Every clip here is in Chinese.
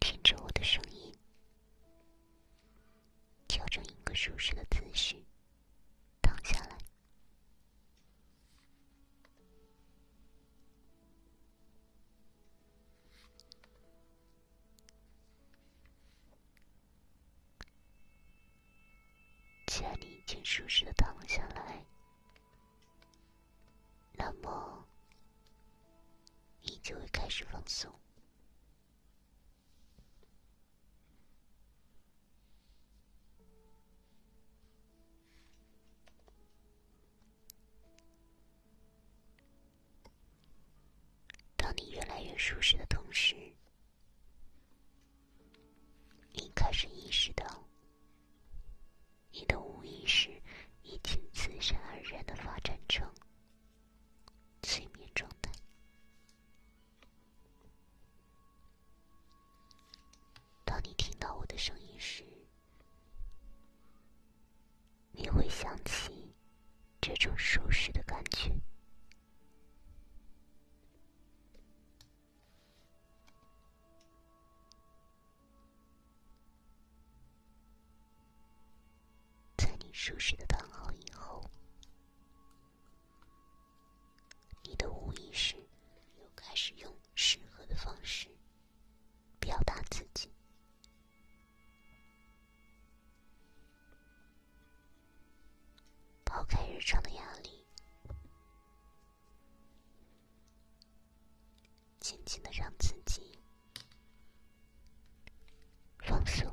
听着我的声音，调整一个舒适的姿势，躺下来。既然你已经舒适的躺了下来，那么你就会开始放松。当你越来越舒适的同时，你开始意识到，你的无意识已经自然而然的发展成催眠状态。当你听到我的声音时，你会想起这种舒适的感觉。在你舒适的躺好以后，你的无意识又开始用适合的方式表达自己，抛开日常的压力。轻轻的让自己放松。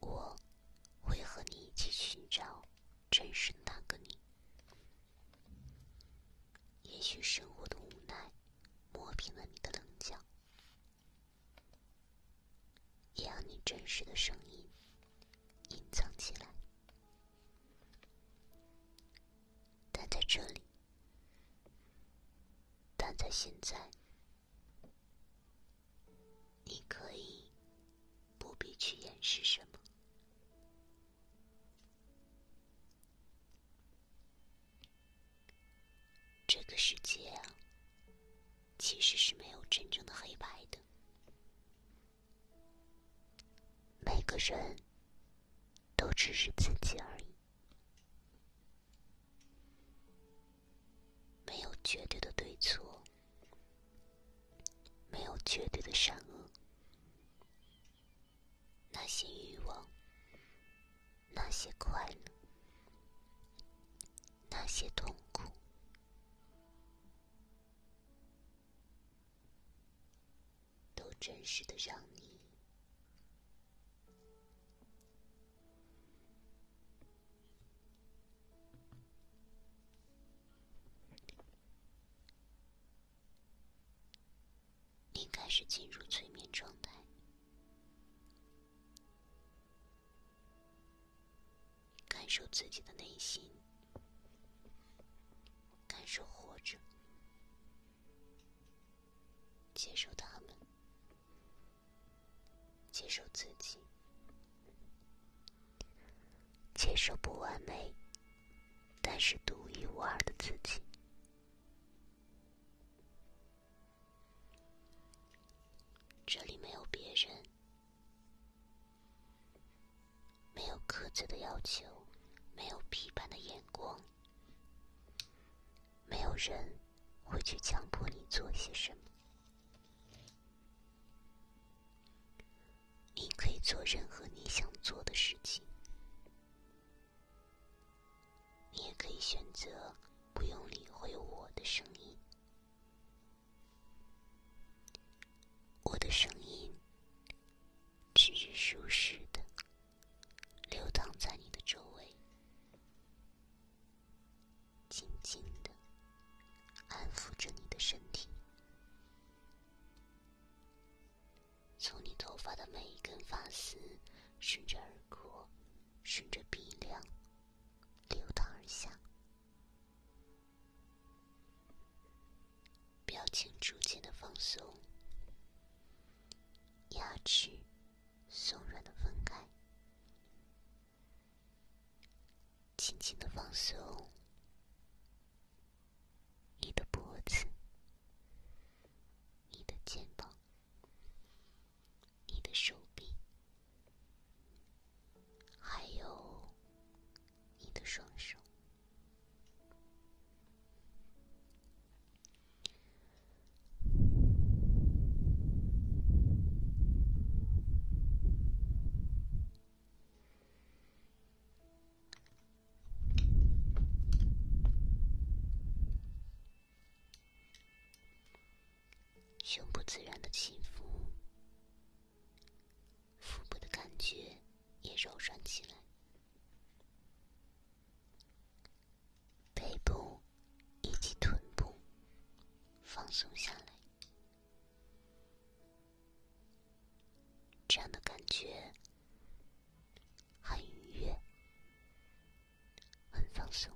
我会和你一起寻找真实那个你。也许生活的无奈磨平了你的棱角，也让你真实的声音隐藏起来。但在这里，但在现在，你可以不必去掩饰什么。这个世界啊，其实是没有真正的黑白的。每个人都只是自己而已，没有绝对的对错，没有绝对的善恶。那些欲望，那些快乐，那些痛苦，都真实的让你。你开始进入催眠状态，感受自己的内心，感受活着，接受他们，接受自己，接受不完美，但是独一无二的自己。这里没有别人，没有苛责的要求，没有批判的眼光，没有人会去强迫你做些什么。你可以做任何你想做的事情。你也可以选择不用理会我的声音，我的声音只是舒适的流淌在你的周围，静静的安抚着你的身体。从你头发的每一根发丝，顺着耳廓，顺着鼻梁流淌而下，表情逐渐的放松，牙齿松软的分开，轻轻的放松你的脖子，你的肩膀。你的手臂，还有你的双手。胸部自然的起伏，腹部的感觉也柔软起来，背部以及臀部放松下来，这样的感觉。很愉悦，很放松，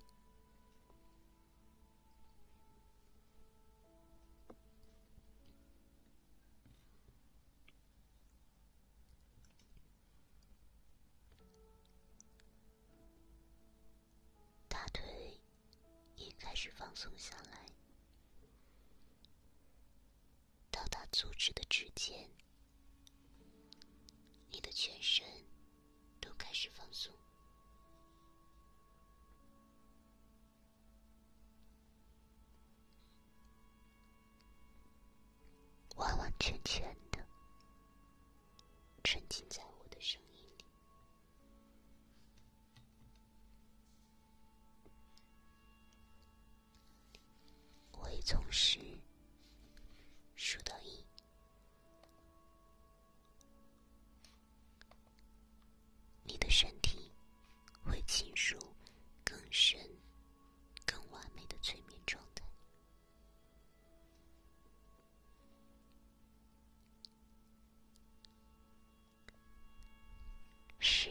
大腿也开始放松下来。到达足趾的指尖，你的全身都开始放松，完完全全的沉浸在我的声音里。我会从十数到一，你的身体会进入更深、更完美的催眠状态。十。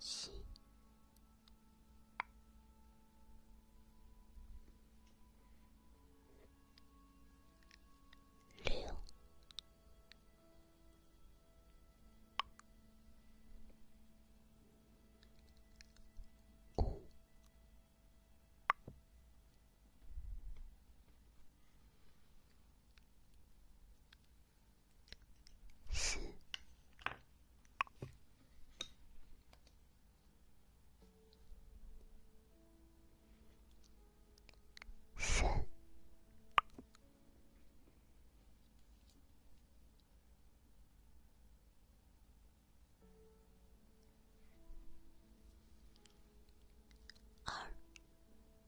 七、六、五。四、三，二。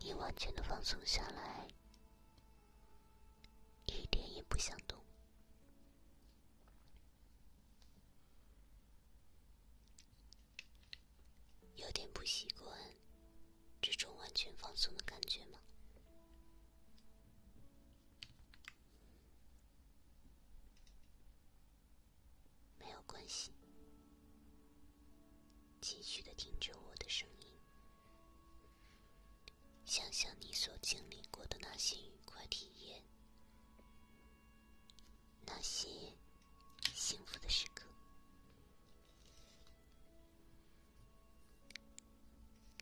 你完全的放松下来，一点也不想动，有点不习惯这种完全放松的感觉吗？没有关系，继续的听着我的声音，想想你所经历过的那些愉快体验，那些幸福的时刻，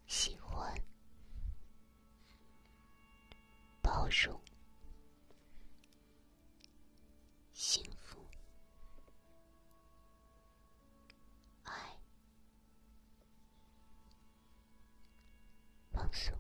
喜欢，包容。幸福，爱，放松，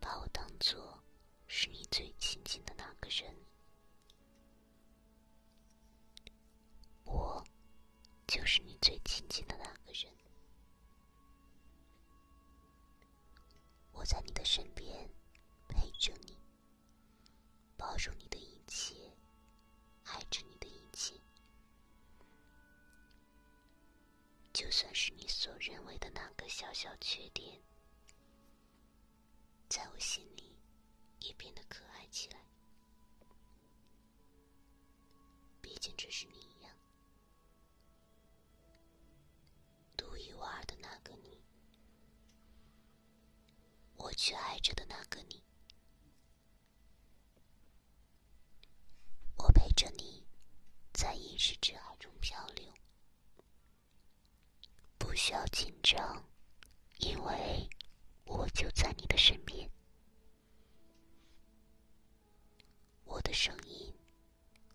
把我当做。是你最亲近的那个人，我就是你最亲近的那个人。我在你的身边陪着你，包容你的一切，爱着你的一切。就算是你所认为的那个小小缺点，在我心里也变得可爱起来。毕竟这是你一样独一无二的那个你，我却爱着的那个你。我陪着你，在一识之海中漂流。不需要紧张，因为我就在你的身边。我的声音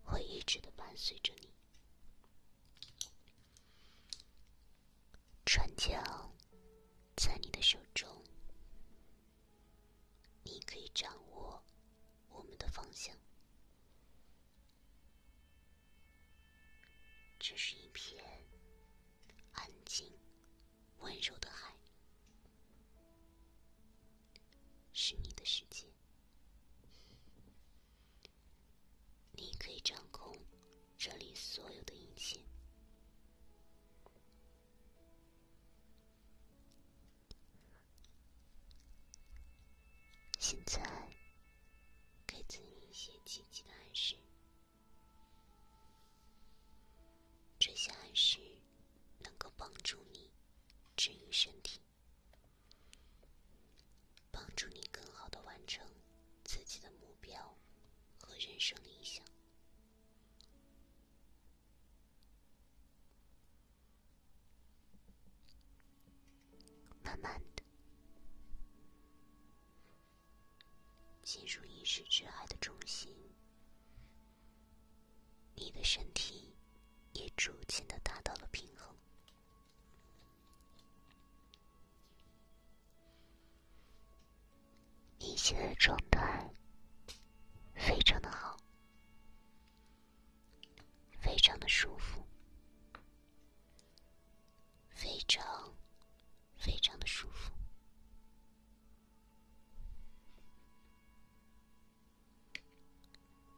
会一直的伴随着你。船桨在你的手中，你可以掌握。我们的方向，这是一片安静、温柔的海，是你的世界，你可以掌控这里所有的一切。现在，给自己一些积极的暗示。这些暗示能够帮助你治愈身体，帮助你更好的完成自己的目标和人生理想。慢慢的，进入意识之海的中心，你的身体也逐渐的达到了平衡，你现在状态非常的好。非常的舒服，非常非常的舒服。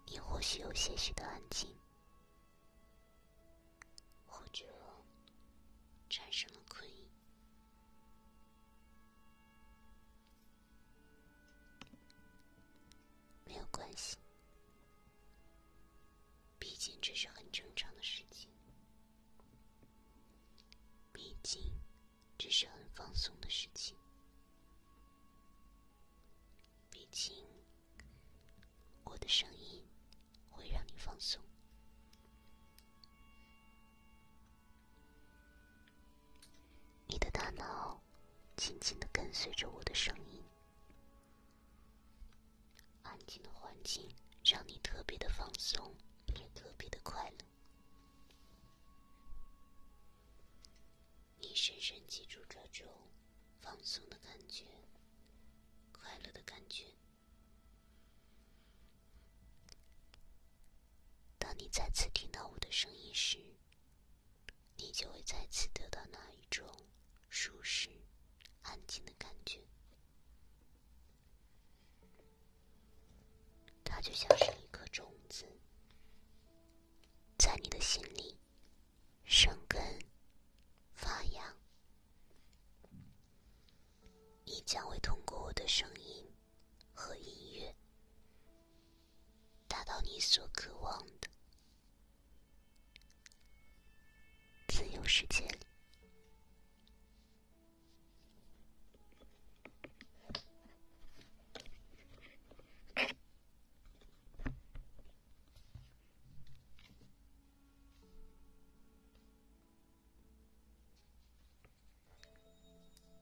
你或许有些许的安静，或者产生了困意。没有关系，毕竟这是很正常的事情，毕竟这是很放松的事情，毕竟我的声音会让你放松，你的大脑。静静的跟随着我的声音，安静的环境让你特别的放松，也特别的快乐。你深深记住这种放松的感觉，快乐的感觉。当你再次听到我的声音时。你就会再次得到那一种舒适、安静的感觉。它就像是一颗种子，在你的心里生根发芽。你将会通过我的声音和音乐。达到你所渴望的自由世界里。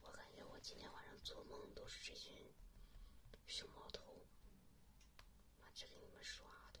我感觉我今天晚上做梦都是这群熊猫头，妈这给你们刷的。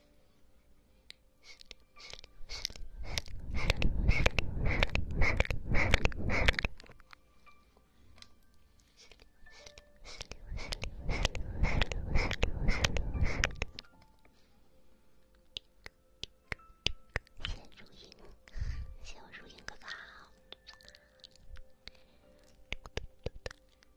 谢如影，谢我如影哥哥。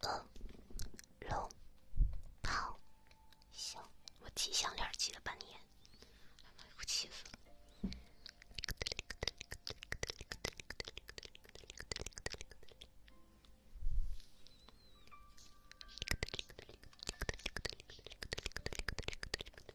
饿，肉，胖，小。我系项链系了半年，还买不起。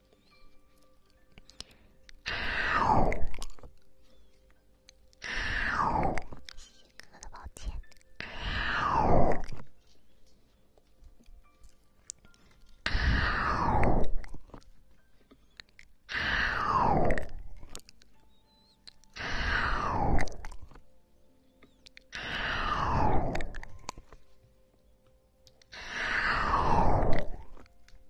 啊哦！啊哦！谢谢哥哥的宝剑。啊哦！啊哦！啊哦！啊哦！啊哦！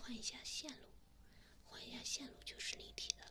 换一下线路，换一下线路就是立体的了。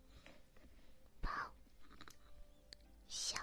包小鸡。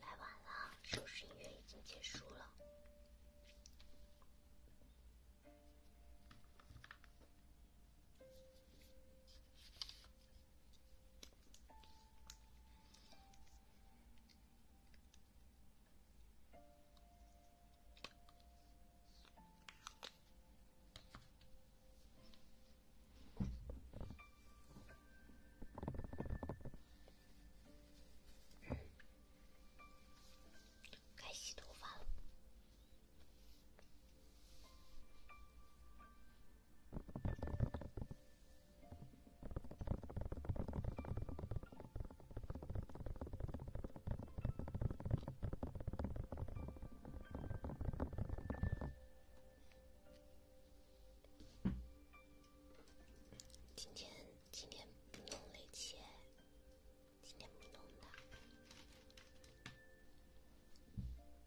来晚了，收拾音乐已经结束了。该洗头发了。今天今天不弄雷切，今天不弄的。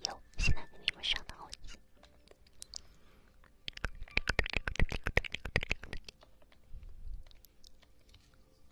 有，现在给你们上道具。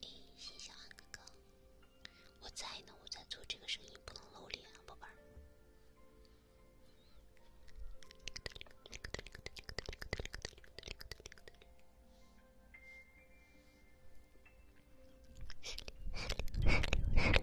哎，小安哥哥，我在呢，我在做这个声音，不能露脸啊，宝贝儿。四六四六四六四六。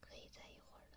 可以再一会儿了。